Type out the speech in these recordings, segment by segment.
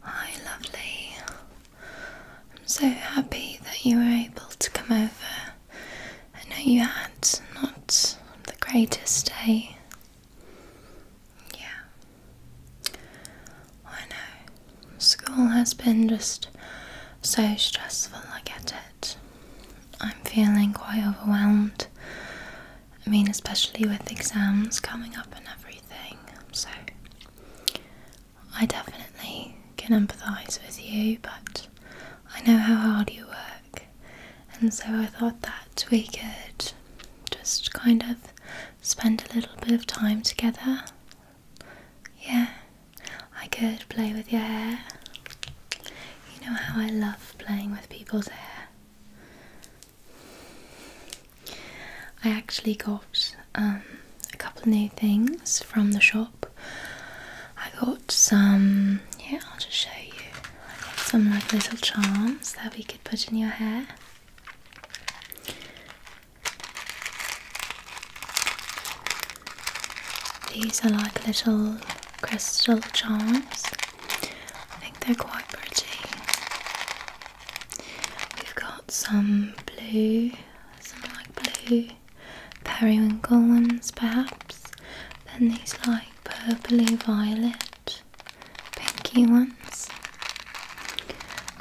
Hi, lovely. I'm so happy that you were able to come over. I know you had not the greatest day. Yeah. I know. School has been just so stressful, I get it. I'm feeling quite overwhelmed. I mean, especially with exams coming up and everything. So I definitely can empathise with you, but I know how hard you work, and so I thought that we could just kind of spend a little bit of time together. Yeah, I could play with your hair. You know how I love playing with people's hair. I actually got um, a couple of new things from the shop. I got some, yeah, I'll just show you. some like little charms that we could put in your hair. These are like little crystal charms. I think they're quite pretty. We've got some blue, some like blue periwinkle ones perhaps. Then these like purpley violet pinky ones.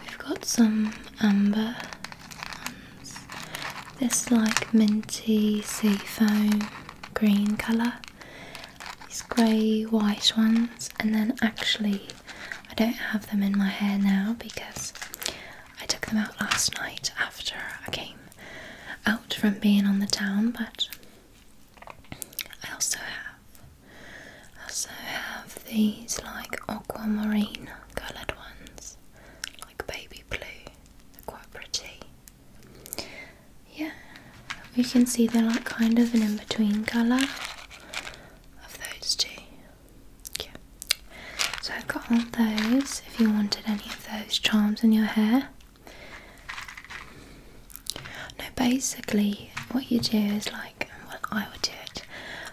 We've got some amber ones. This like minty seafoam green colour. These grey white ones and then actually I don't have them in my hair now because I took them out last night after I came out from being on the town, but I also have also have these like aquamarine coloured ones, like baby blue. They're quite pretty. Yeah, you can see they're like kind of an in-between colour of those two. Yeah. So I've got all those if you wanted any of those charms in your hair. now basically, what you do is like, well, I would do it,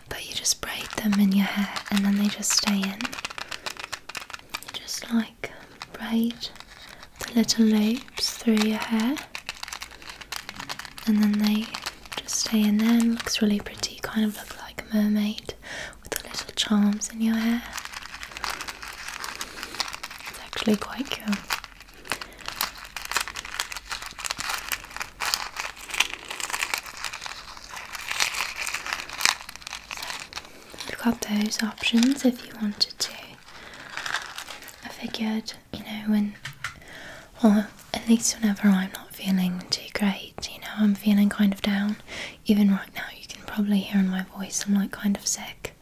but you just braid them in your hair and then they just stay in. You just like braid the little loops through your hair and then they just stay in there looks really pretty. kind of look like a mermaid with the little charms in your hair. It's actually quite cute. So, have got those options if you wanted to. I figured you know, when, or at least whenever I'm not feeling too great, you know, I'm feeling kind of down. Even right now, you can probably hear in my voice I'm like kind of sick.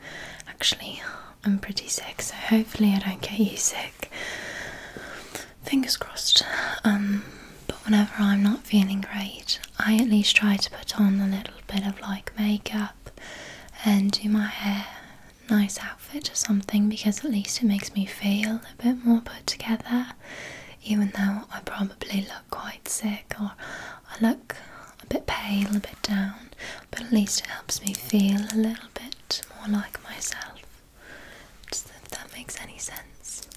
Actually, I'm pretty sick, so hopefully, I don't get you sick. Fingers crossed. Um, but whenever I'm not feeling great, I at least try to put on a little bit of like makeup and do my hair nice outfit or something because at least it makes me feel a bit more put together, even though I probably look quite sick or I look a bit pale, a bit down, but at least it helps me feel a little bit more like myself. Just if that makes any sense.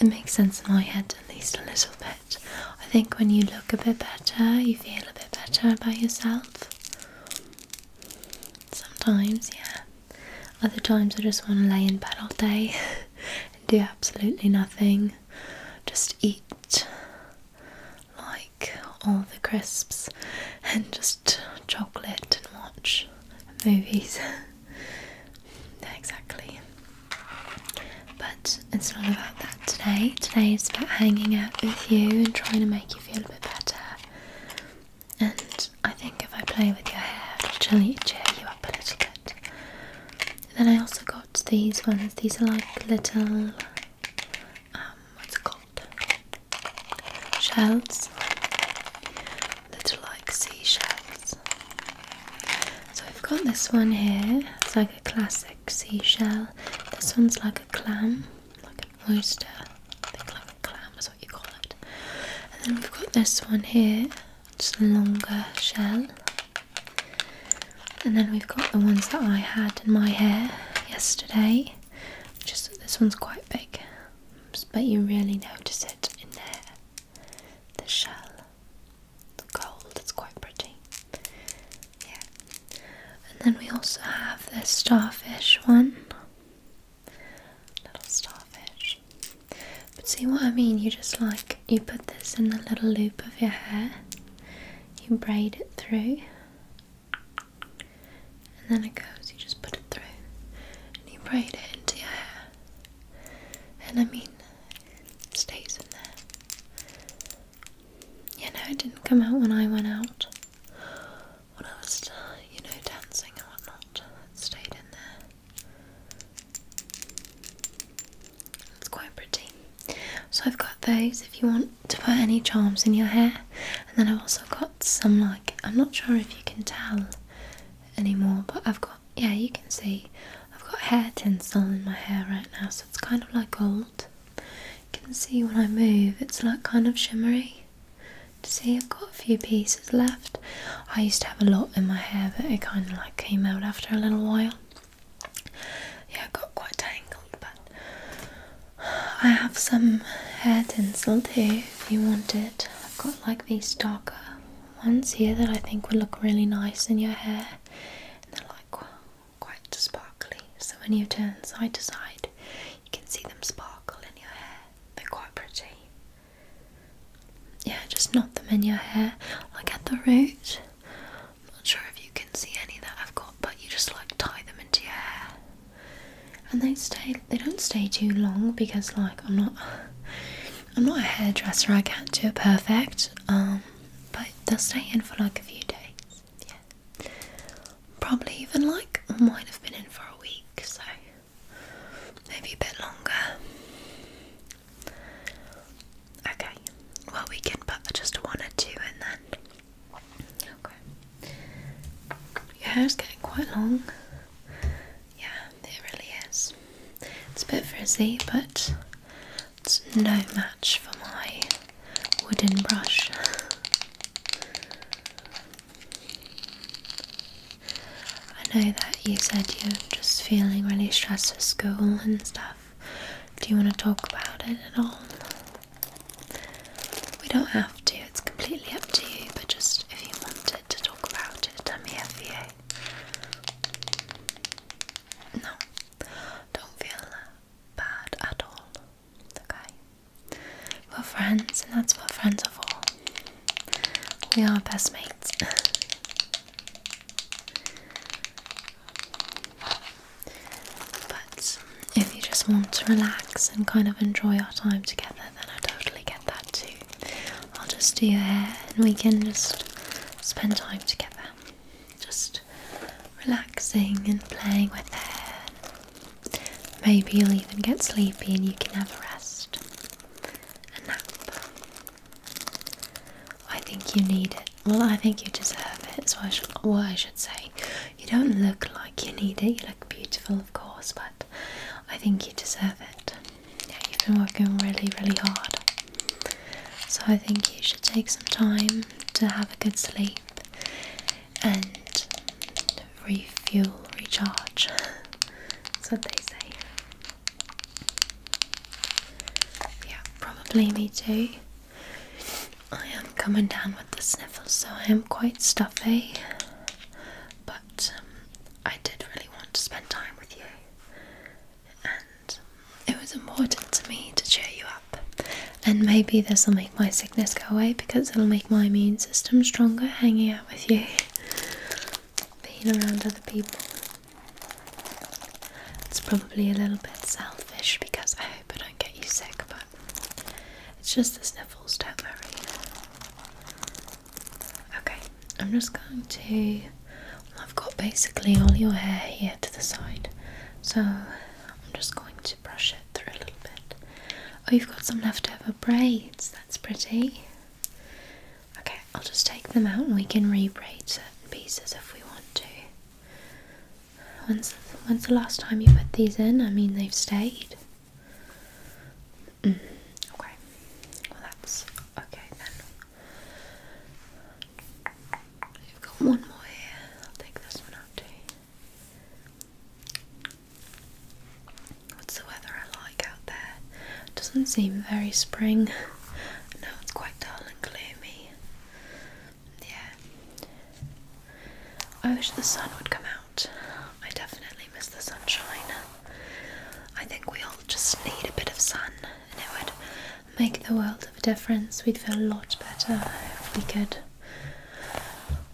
it makes sense in my head at least a little bit. I think when you look a bit better, you feel a bit better about yourself. Sometimes, yeah. Other times I just want to lay in bed all day and do absolutely nothing. Just eat like all the crisps and just chocolate and watch movies. yeah, exactly. But it's not about that today. Today is about hanging out with you and trying to make you feel a bit better and I think if I play with your hair, it'll cheer, you up a little bit. Then I also got these ones. These are like little, um, what's it called? Shells. Little like seashells. So I've got this one here. It's like a classic seashell. This one's like a clam, like oyster. I think like a clam is what you call it. And then we've got this one here, just a longer shell. And then we've got the ones that I had in my hair yesterday. Just this one's quite big, but you really notice it in there. The shell, the gold, it's quite pretty. Yeah, and then we also have this starfish one. Little starfish. But see what I mean? You just like, you put this in a little loop of your hair, you braid it through, and then it goes, you just put it through, and you braid it into your hair. And I mean, it stays in there. You know, it didn't come out when I went out when I was, uh, you know, dancing and whatnot, stayed in there. It's quite pretty. So I've got those if you want to put any charms in your hair. And then I've also got some like, I'm not sure if you can tell anymore, but I've got, yeah, you can see, I've got hair tinsel in my hair right now, so it's kind of like gold. You can see when I move it's like kind of shimmery. To see I've got a few pieces left. I used to have a lot in my hair but it kind of like came out after a little while. Yeah, I got quite tangled but I have some hair tinsel too if you want it. I've got like these darker ones here that I think would look really nice in your hair. And they're like quite sparkly so when you turn side to side you can see them sparkle in your hair. They're quite pretty. Yeah, just knot them in your hair, Look at the root. I'm not sure if you can see any that I've got, but you just like tie them into your hair. And they stay they don't stay too long because like I'm not I'm not a hairdresser, I can't do it perfect. Um but they'll stay in for like a few days yeah. Probably even like might have been in for a week, so maybe a bit longer. Okay, well, we can put just one or two and then. Okay, your hair's getting quite long. Yeah, it really is. It's a bit frizzy, but it's no match for my wooden brush. I know that you said you're just feeling really stressed at school and stuff. Do you want to talk about it at all? We don't have to, it's completely up to you, but just if you wanted to talk about it, I'm here for you. No, don't feel bad at all. Okay? We're friends, and that's what friends are for. We are best mates. but if you just want to relax and kind of enjoy our time together, then I totally get that too. I'll just do your hair and we can just spend time together. Just relaxing and playing with hair, Maybe you'll even get sleepy and you can have a rest. A nap. I think you need it. Well, I think you deserve it. It's what, I should say. You don't look like you need it. You look beautiful, of course, but I think you deserve it. you've been working really, really hard. So I think you should take some time to have a good sleep and refuel, recharge. That's what they say. Yeah, probably me too. I am coming down with the sniffles, so I am quite stuffy. But um, I did really want to spend time with you, and it was important to me to cheer you up. And maybe there's something my sickness go away because it'll make my immune system stronger hanging out with you, being around other people. It's probably a little bit selfish because I hope I don't get you sick, but it's just the sniffles, don't worry. Okay, I'm just going to. I've got basically all your hair here to the side, so I'm just going to brush it through a little bit. Oh, you've got some leftover braids. That's pretty. Okay, I'll just take them out and we can re-braid certain pieces if we want to. Once, when's the last time you put these in? I mean, they've stayed. Mm, okay, well that's okay then. You've got one more here. I'll take this one out too. What's the weather I like out there? Doesn't seem very spring. No, it's quite dull and gloomy. Yeah. I wish the sun would come out. I definitely miss the sunshine. I think we all just need a bit of sun and it would make the world of a difference. We'd feel a lot better if we could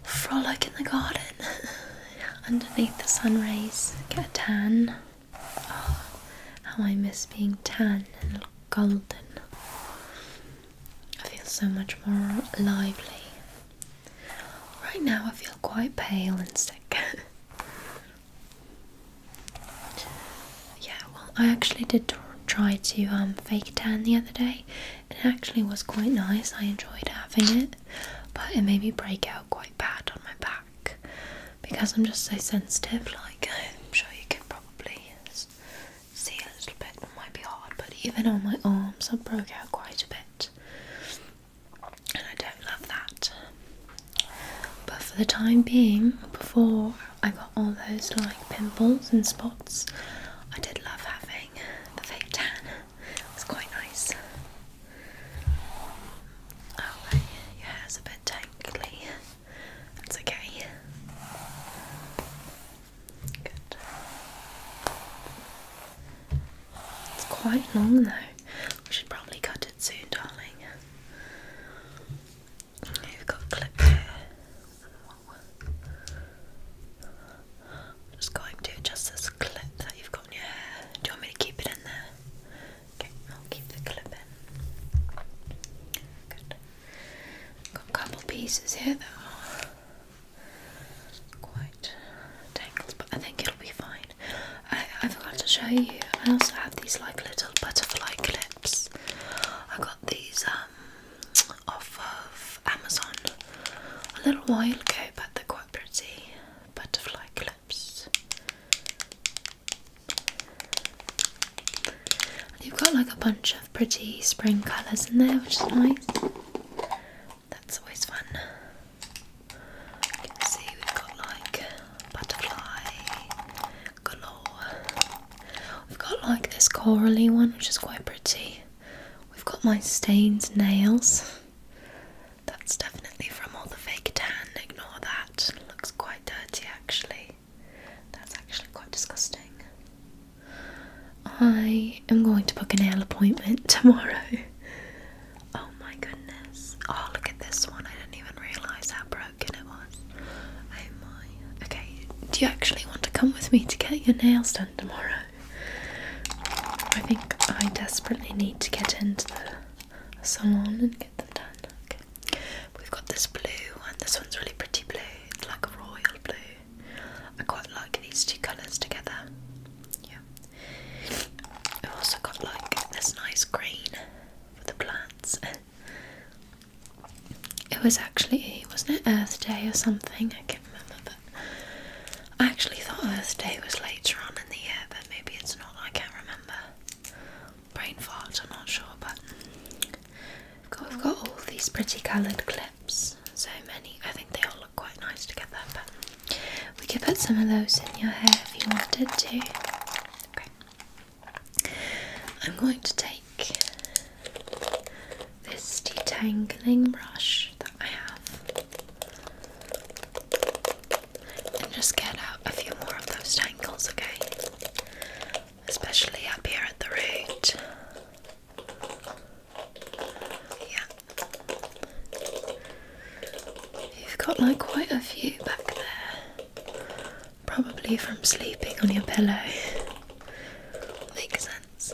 frolic in the garden underneath the sun rays, get a tan. Ah, how I miss being tan and golden. I feel so much more lively. Right now, I feel quite pale and sick. yeah, well, I actually did try to um, fake tan the other day it actually was quite nice. I enjoyed having it, but it made me break out quite bad on my back because I'm just so sensitive. Like, I'm sure you can probably see a little bit. It might be hard, but even on my arms, I broke out quite a bit, and I don't love that. But for the time being, before I got all those like pimples and spots, I did love having the fake tan. It's quite nice. Oh, your hair's a bit tangly. That's okay. Good. It's quite long though. We should probably cut it soon, darling. You've got a here. I'm just going to adjust this clip that you've got in your hair. Do you want me to keep it in there? Okay, I'll keep the clip in. Got a couple pieces here that are quite tangled, but I think it'll be fine. I, I forgot to show you. I also have these like little butterfly clips. I have got these um off of Amazon a little while ago, but they're quite pretty butterfly clips. And you've got like a bunch of pretty spring colours in there, which is nice. That's always fun. You see we've got like butterfly galore. We've got like this corally one, which is quite pretty. We've got my stained nails. That's definitely from all the fake tan, ignore that. looks quite dirty actually. That's actually quite disgusting. I am going to book a nail appointment tomorrow. Oh my goodness. Oh, look at this one. I didn't even realise how broken it was. Oh my. Okay, do you actually want to come with me to get your nails done tomorrow? I think I desperately need to get into the salon and get them done. Okay. We've got this blue and this one's really pretty blue, it's like a royal blue. I quite like these two colours together. Yeah. I've also got like this nice green for the plants. It was actually wasn't it Earth Day or something? I can't remember. I actually thought Earth Day was later on in the year, but maybe it's not. I can't remember. Brain fart, I'm not sure, but we we've got all these pretty coloured clips. So many. I think they all look quite nice together, but we could put some of those in your hair if you wanted to. Okay. I'm going to take this detangling brush that I have and just get out a few more of those tangles, okay? Especially up here at the root. Yeah. You've got like quite a few back there. Probably from sleeping on your pillow. Makes sense.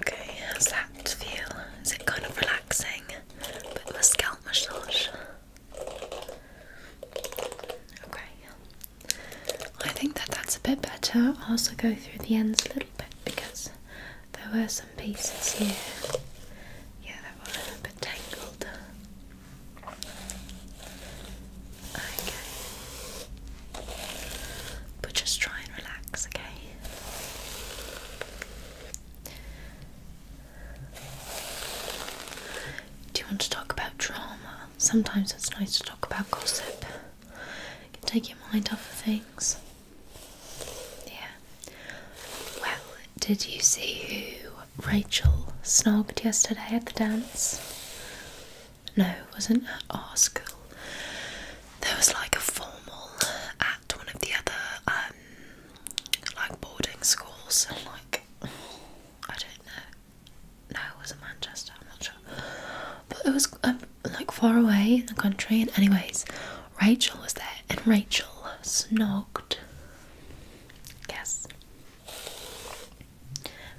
Okay, how's that feel? Is it kind of relaxing? A bit scalp massage. Okay, I think that that's a bit better. I'll also go through the ends a little bit because there were some pieces here. Yeah, that were a bit tangled. Okay. But just try and relax, okay? Do you want to talk about drama? Sometimes it's nice to talk about gossip. You can take your mind off of things. Yeah. Well, did you see who Rachel snogged yesterday at the dance? No, it wasn't at our school. There was like a formal at one of the other um, like boarding schools and like I don't know. No, it wasn't Manchester, I'm not sure. But it was um, like far away in the country and anyways, Rachel was there and Rachel snogged Yes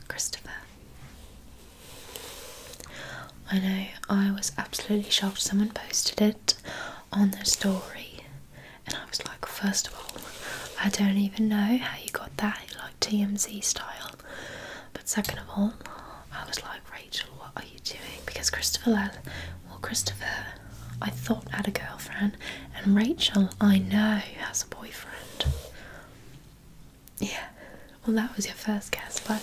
Christopher I know I was absolutely shocked someone posted it on their story and I was like first of all I don't even know how you got that like TMZ style but second of all I was like Rachel what are you doing because Christopher well Christopher I thought had a girlfriend and Rachel I know has a boyfriend yeah, well, that was your first guess, but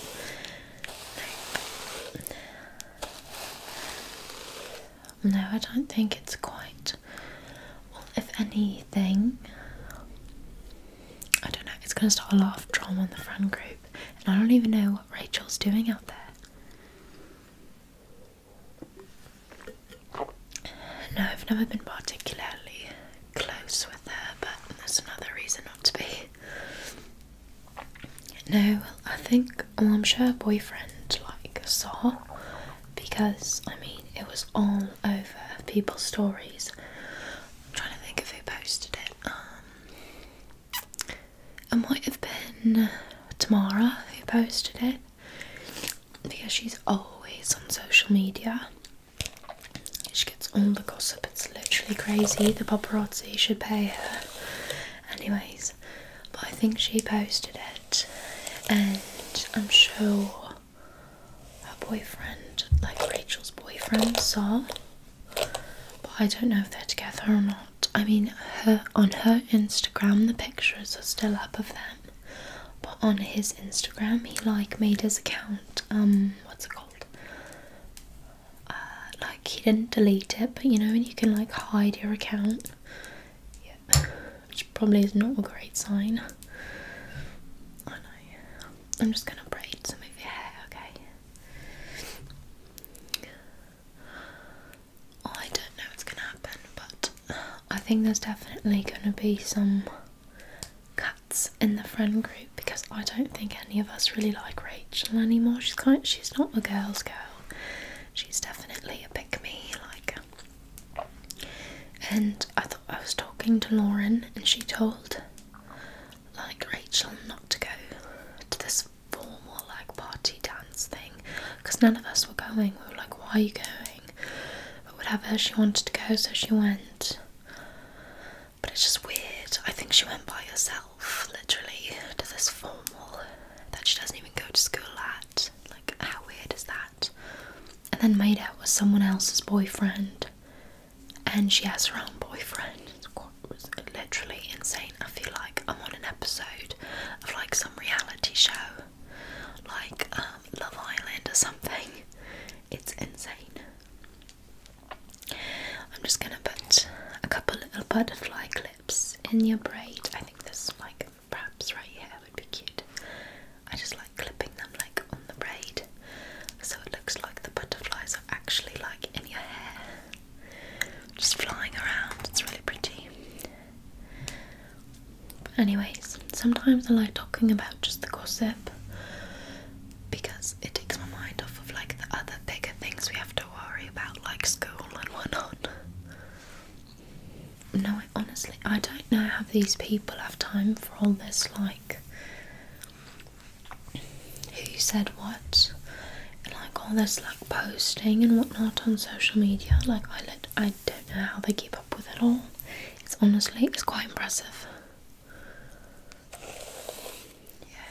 no. I don't think it's quite. Well, if anything, I don't know, it's going to start a lot of drama in the friend group, and I don't even know what Rachel's doing out there. No, I've never been particularly close with her, but there's another reason not to be. No, I think, I'm sure boyfriend like saw because I mean it was all over people's stories. trying to think of who posted it. Um, it might have been Tamara who posted it because she's always on social media she gets all the gossip, it's literally crazy. The paparazzi should pay her. Anyways, but I think she posted it, and I'm sure her boyfriend, like Rachel's boyfriend, saw. But I don't know if they're together or not. I mean, her on her Instagram, the pictures are still up of them. But on his Instagram, he like made his account. Um, what's it called? Uh, like he didn't delete it, but you know, and you can like hide your account. which probably is not a great sign. I know. I'm just gonna braid some of your hair, okay? I don't know what's gonna happen, but I think there's definitely gonna be some cuts in the friend group because I don't think any of us really like Rachel anymore. She's kind she's not a girl's girl. She's definitely a pick me like. And I thought I was talking to Lauren and she told like Rachel not to go to this formal like party dance thing because none of us were going. We were like, why are you going? But whatever, she wanted to go, so she went. But it's just weird. I think she went by herself, literally, to this formal that she doesn't even go to school at. Like, how weird is that? And then made out with someone else's boyfriend, and she has her own boyfriend. It's quite, literally insane. I feel like I'm on an episode of like some reality show, like um, Love Island or something. It's insane. I'm just gonna put a couple little butterfly clips in your braid. I think this like perhaps right here would be cute. I just like clipping them like on the braid so it looks like the butterflies are actually like in your hair. Just flying around. It's really pretty. anyways, sometimes I like talking about just the gossip because it takes my mind off of like the other bigger things we have to worry about, like school and whatnot. No, I honestly, I don't know how these people have time for all this. Like, who said what? And like all this, like posting and whatnot on social media. Like, I, let, I don't know how they keep up with it all. It's honestly, it's quite impressive. Yeah.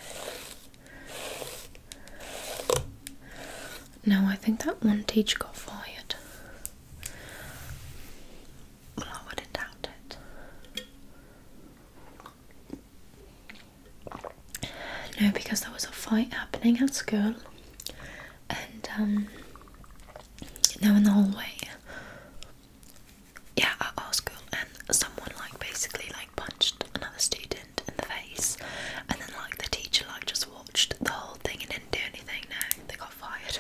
No, I think that one teacher got fired. Well, I wouldn't doubt it. No, because there was a fight happening at school, and um, now in the hallway, yeah at our school and someone like basically like punched another student in the face and then like the teacher like just watched the whole thing and didn't do anything no they got fired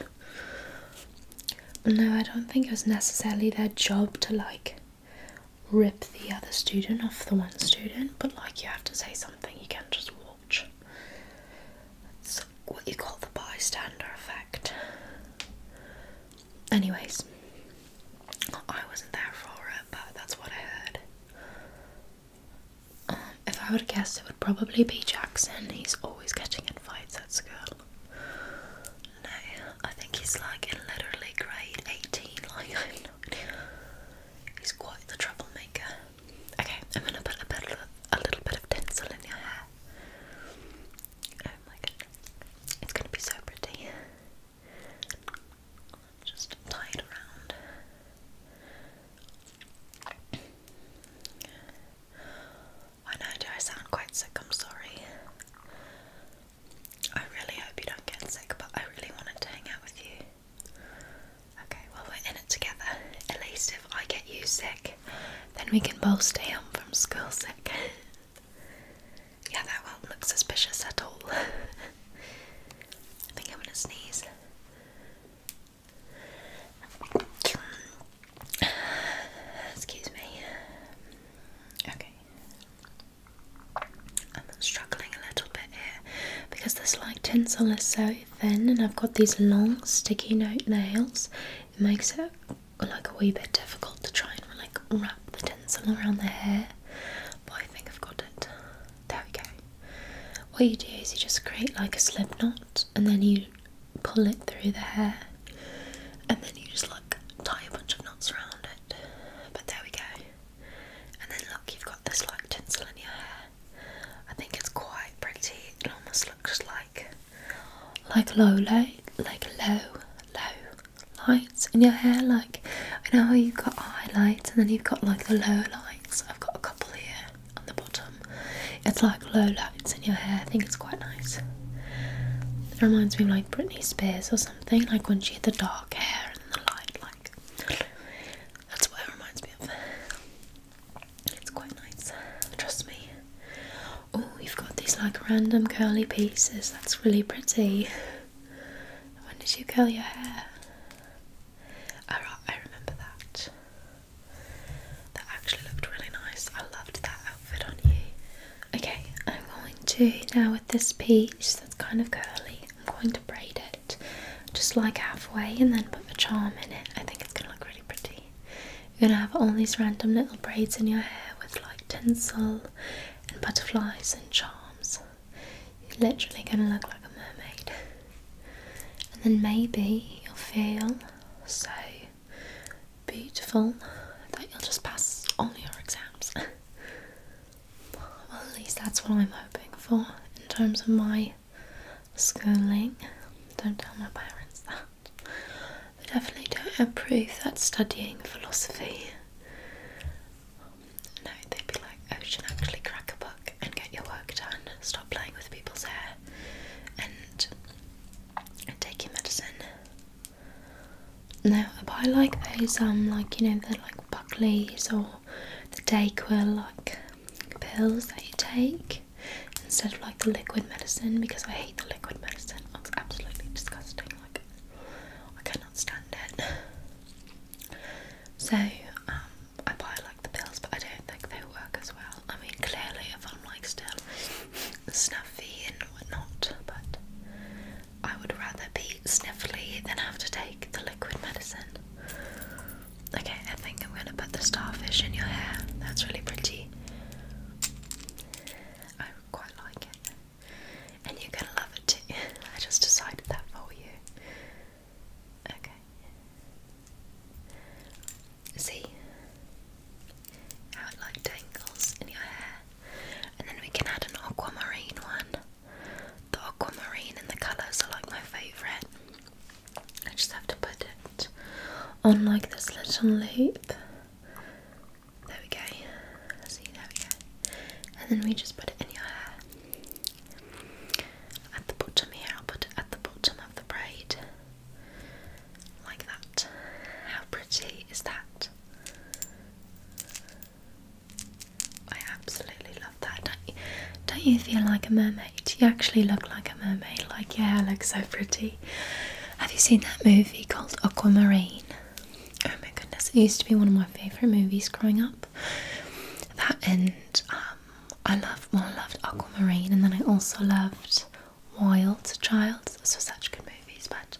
no i don't think it was necessarily their job to like rip the other student off the one student but like you have to say something you can't just watch what you call the bystander effect Anyways, I wasn't there for it, but that's what I heard. Um, if I would guess, it would probably be Jackson. He's always getting in fights at school. No, I think he's like in literally grade 18. Like, He's quite the troublemaker. Okay, I'm gonna put a, little bit of tinsel in your hair. Oh my goodness. It's gonna be so pretty. Just tie it around. I know, do I sound quite sick? I'm sorry. I really hope you don't get sick, but I really wanted to hang out with you. Okay, well, we're in it together. At least if I get you sick, then we can both stay home from school sick. Yeah, that won't look suspicious at all. I think I'm gonna sneeze. Excuse me. Okay. I'm struggling a little bit here because this like tinsel is so thin and I've got these long sticky note nails. It makes it like a wee bit difficult to try and like wrap the tinsel around the hair, but I think I've got it. There we go. What you do is you just create like a slip knot and then you pull it through the hair and then you just like tie a bunch of knots around it. But there we go. And then look, you've got this like tinsel in your hair. I think it's quite pretty. It almost looks like like low light, like low, low lights in your hair. Like you know how you've got highlights and then you've got like the low lights. I've got a couple here on the bottom. It's like low lights in your hair. I think it's quite nice. It reminds me like Britney Spears or something. Like when she had the dark hair and the light, like that's what it reminds me of. It's quite nice. Trust me. Oh, you've got these like random curly pieces. That's really pretty. When did you curl your hair? Ah, I remember that. That actually looked really nice. I loved that outfit on you. Okay, I'm going to now with this piece that's kind of curly, I'm going to braid it just like halfway and then put a charm in it. I think it's gonna look really pretty. You're gonna have all these random little braids in your hair with like tinsel and butterflies and charms. You're literally going to look like a mermaid. And then maybe you'll feel so beautiful that you'll just pass all your exams. well, at least that's what I'm hoping for in terms of my schooling. Don't tell my parents that. I definitely don't approve that studying philosophy. No, they'd be like, Ocean, oh, actually crack a book and get your work done. Stop playing with people's hair and, take your medicine. Now, I buy like those, um, like, you know, the like Buckley's or the Dayquil, like pills that you take instead of like the liquid medicine because I hate the liquid medicine. It's absolutely disgusting like I cannot stand it. So, um, I buy like the pills, but I don't think they work as well. I mean, clearly, if I'm like still snuffy and whatnot, but I would rather be sniffly than have to take the liquid medicine. Okay, I think I'm gonna put the starfish in your hair. That's really pretty. I quite like it and you're gonna love it too. I just decided that for you. Okay. See how it like tangles in your hair, and then we can add an aquamarine one. The aquamarine and the colours are like my favourite. I just have to put it on like this little loop there we go. See, there we go. And then we just put it in your hair. At the bottom here, I'll put it at the bottom of the braid. Like that. How pretty is that? I absolutely love that. Don't you, don't you feel like a mermaid? You actually look like a mermaid. Like your hair looks so pretty. Have you seen that movie called Aquamarine? Oh my goodness, it used to be one of my favourite movies growing up. That and um, I loved, well, I loved Aquamarine, and then I also loved Wild Child. Those were such good movies, but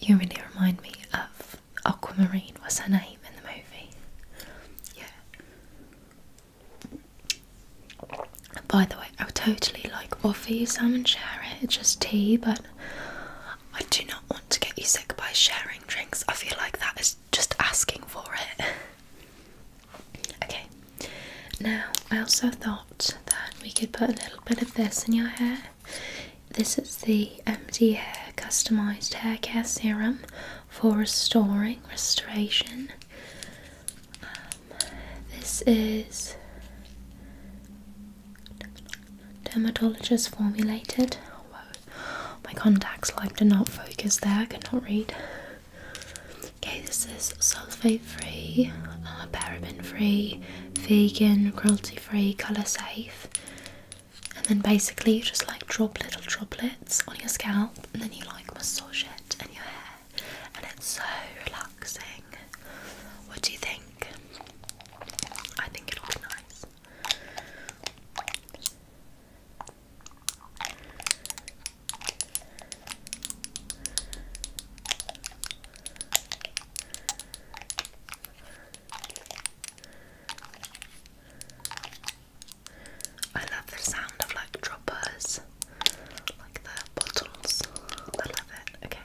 you really remind me of Aquamarine. What's her name in the movie? Yeah. By the way, I would totally like offer you some and share it. It's just tea, but I do not want to get you sick by sharing drinks. I feel like that is just asking for it. okay, now I also thought that we could put a little bit of this in your hair. This is the MD Hair Customized Hair Care Serum for restoring, restoration. Um, this is dermatologist formulated. Whoa, my contacts like do not focus there, I cannot read. Okay, this is sulfate free, uh, paraben free, vegan, cruelty free, colour safe. And then basically, you just like drop little droplets on your scalp and then you like massage it in your hair, and it's so relaxing. What do you think? I think it'll be nice. I love the sound of like droppers, like the bottles. I love it. Okay.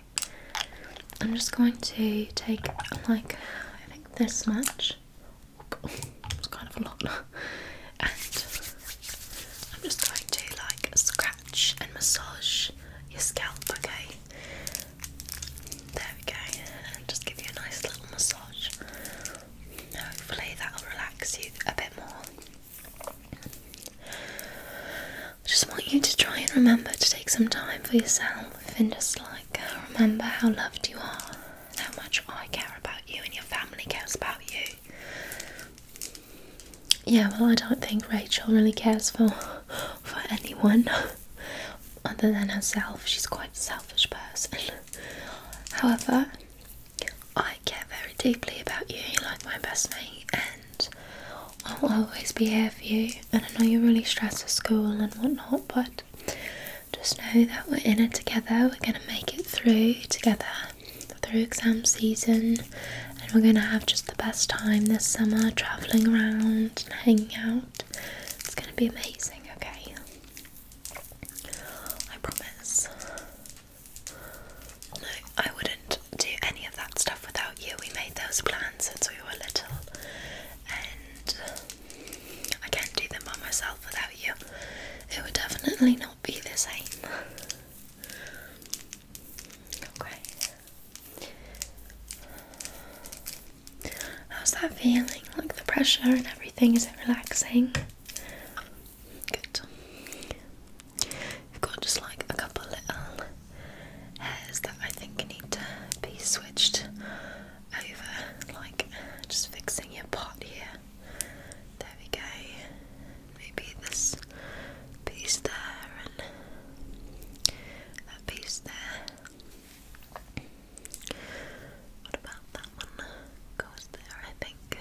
I'm just going to take like I think this much. Oh, it's kind of a lot, and I'm just going to like scratch and massage your scalp. Okay, there we go, and just give you a nice little massage. Hopefully that'll relax you a bit more. I just want you to try and remember to take some time for yourself and just like uh, remember how loved you are and how much I care about you and your family cares about you. Yeah, well, I don't think Rachel really cares for for anyone other than herself. She's quite a selfish person. However, I care very deeply about you. You're like my best mate, I'll always be here for you, and I know you're really stressed at school and whatnot, but just know that we're in it together. We're going to make it through together through exam season, and we're going to have just the best time this summer traveling around and hanging out. It's going to be amazing, okay? I promise. No, I wouldn't do any of that stuff without you. We made those plans since we were little, and I can't do them by myself without you. It would definitely not be the same. Okay. How's that feeling? Like the pressure and everything, is it relaxing? Good. I've got just like a couple little hairs that I think need to be switched over, like just fixing your pot here. There we go. Maybe this piece there and that piece there. What about that one? Goes there, I think.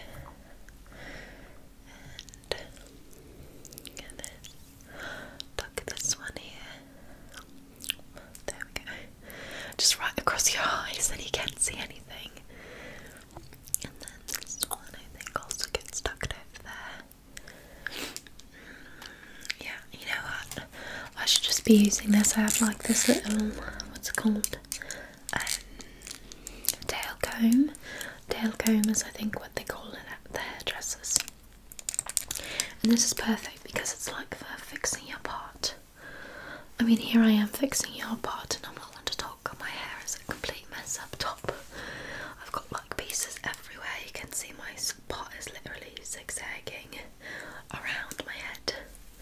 And get this. Look at this one here. There we go. Just right across your eyes, and you can't see anything. And then this one, I think, also gets stuck over there. Mm, yeah, you know what? I should just be using this. I have like this little, what's it called? Um, tail comb. Tail comb is, I think, what they call it at the hairdressers. And this is perfect because it's like for fixing your part. I mean, here I am fixing your part, and I'm not one to talk. My hair is a complete mess up top. I've got like pieces everywhere. You can see my part is literally zigzagging around my head.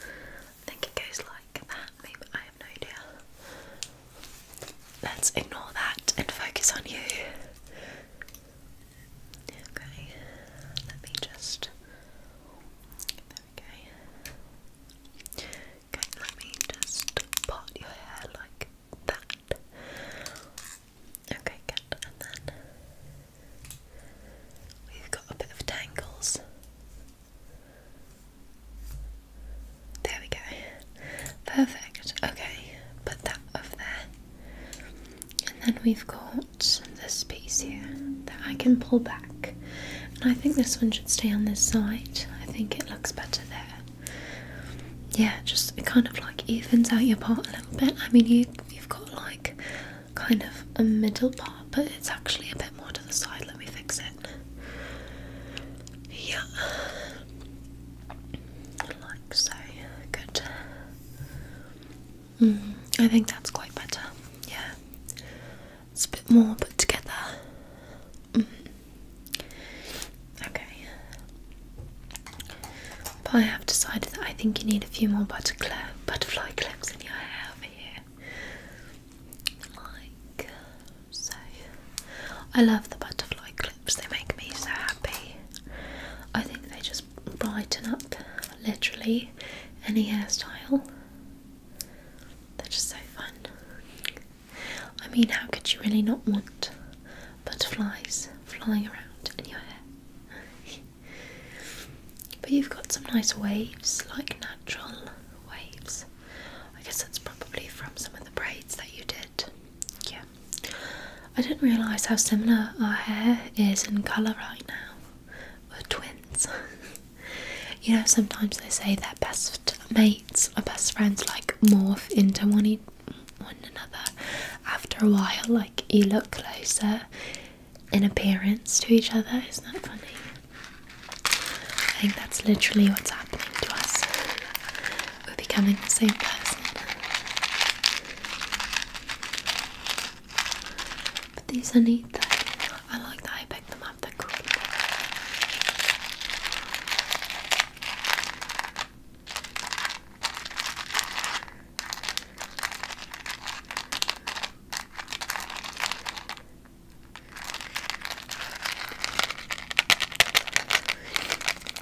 I think it goes like that. Maybe I have no idea. Let's ignore that and focus on you. Okay, let me just. There Okay, let me just part your hair like that. Okay, good. And then we've got a bit of tangles. There we go. Perfect. Okay, put that over there. And then we've got this piece here that I can pull back. And I think this one should stay on this side. I think it looks better there. Yeah, just it kind of like evens out your part a little bit. I mean, you, you've got like kind of a middle part, but it's actually a bit more to the side. Let me fix it. Yeah like so. Good. Mm, I think that's quite better. Yeah, it's a bit more put together. Mm. Okay. But I have decided that I think you need a few more butterfly clips in your hair over here, like so. I love the butterfly clips they make me so happy. I think they just brighten up literally any hairstyle. They're just so fun. I mean, how could you really not want butterflies flying around in your hair? but you've got some nice waves, like natural waves. I guess that's probably from some of the braids that you did. Yeah. I didn't realise how similar our hair is in colour right now. We're twins. you know, sometimes they say their best mates or best friends like morph into one, one another after a while, like you look closer in appearance to each other. Isn't that funny? I think that's literally what's happening to us we're becoming the same person. But these are neat though. I like that I picked them up, they're cool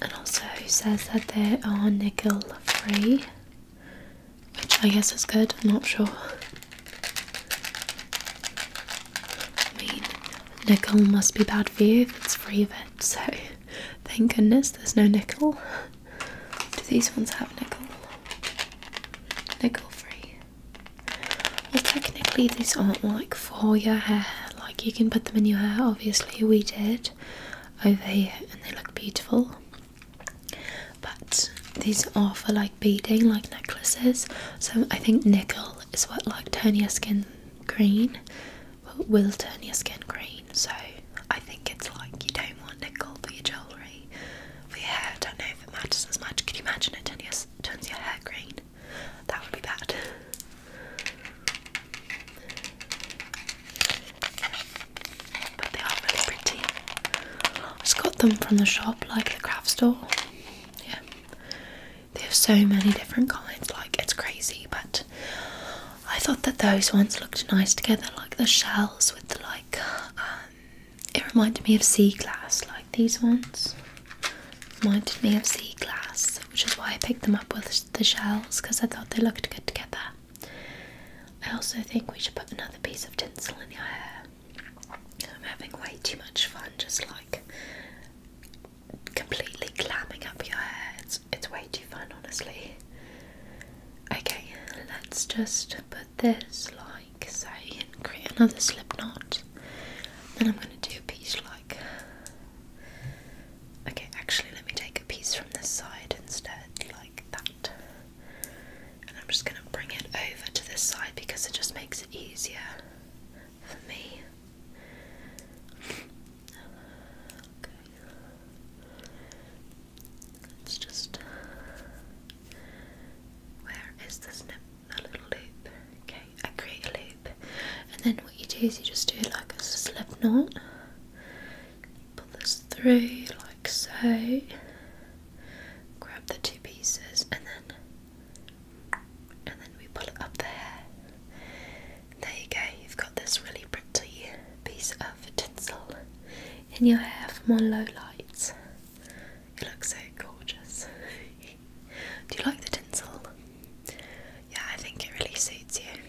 and also says that they are nickel free, which I guess is good. I'm not sure. I mean, nickel must be bad for you if it's free of it, so thank goodness there's no nickel. Do these ones have nickel? Nickel free. Well, technically, these aren't like for your hair, like you can put them in your hair, obviously, we did over here and they look beautiful but these are for like beading like necklaces so i think nickel is what like turn your skin green will turn your skin green so i think it's like you don't want nickel for your jewelry for your hair i don't know if it matters as much Can you imagine it turns your, turns your hair green that would be bad but they are really pretty. I just got them from the shop, like the craft store. Yeah. They have so many different kinds, like it's crazy, but I thought that those ones looked nice together, like the shells with the like um, it reminded me of sea glass, like these ones. Reminded me of sea glass which is why I picked them up with the shells because I thought they looked good together. I also think we should put another piece of tinsel in your hair. I'm having way too much fun just like completely clamping up your hair. It's, way too fun, honestly. Okay, let's just put this like say and create another slip knot. Then I'm going to do a piece like Okay, actually, let me take a piece from this side instead, like that. And I'm just going to bring it over to this side because it just makes it easier for me. Okay. Let's just. Where is this nip? A little loop. Okay, I create a loop. And then what you do is you just do like a slip knot. Pull this through like so. Grab the two pieces and then and then we pull it up there. There you go, you've got this really pretty piece of tinsel in your hair from on low lights. It looks so gorgeous. Do you like the tinsel? yeah, I think it really suits you.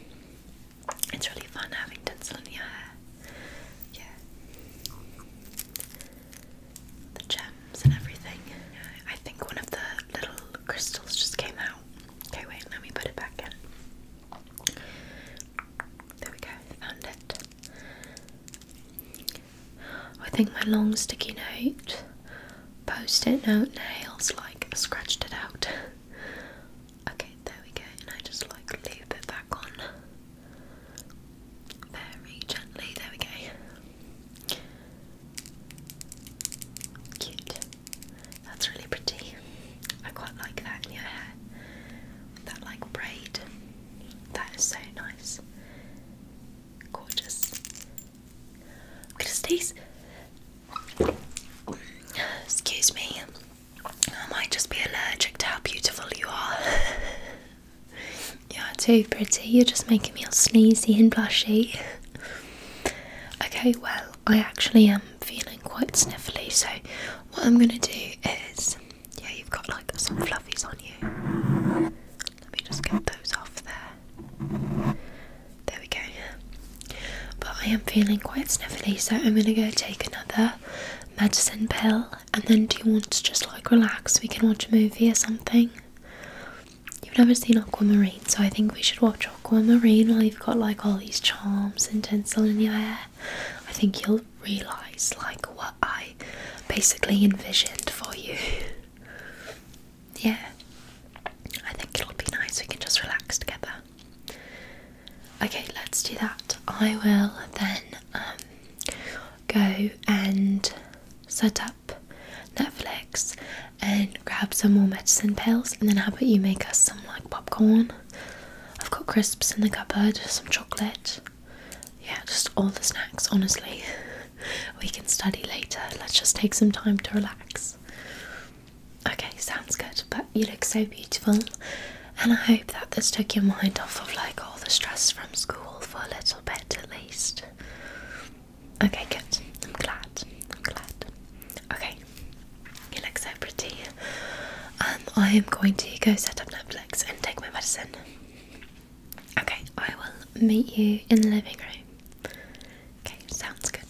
It's really fun having tinsel in your hair. Yeah. The gems and everything. I think one of the little crystals just came out. Okay, wait, let me put it back in. There we go, found it. I think my long sticky note, post it note nails like scratched it out. Okay, there we go, and I just like loop it back on very gently. There we go. Cute. That's really pretty. I quite like that in your hair. That like braid. That is so nice. Gorgeous. I'm going Excuse me. I might just be allergic to how beautiful you are. You're too pretty. You're just making me all sneezy and blushy. Okay, well, I actually am feeling quite sniffly, so what I'm gonna do is yeah, you've got like some fluffies on you. Let me just get those off there. There we go. Yeah, But I am feeling quite sniffly, so I'm gonna go take another medicine pill. And then, do you want to just like relax? We can watch a movie or something. You've never seen Aquamarine, so I think we should watch Aquamarine while you've got like all these charms and tinsel in your hair. I think you'll realize like what I basically envisioned for you. yeah, I think it'll be nice. We can just relax together. Okay, let's do that. I will then um, go and set up Netflix and grab some more medicine pills, and then how about you make us some like popcorn? I've got crisps in the cupboard, some chocolate. Yeah, just all the snacks, honestly. we can study later. Let's just take some time to relax. Okay, sounds good. But you look so beautiful, and I hope that this took your mind off of like all the stress from school for a little bit at least. Okay, good. I'm glad. I'm glad. Okay, you look so pretty. Um, I am going to go set up Netflix and take my medicine. Okay, I will meet you in the living room. Okay, sounds good.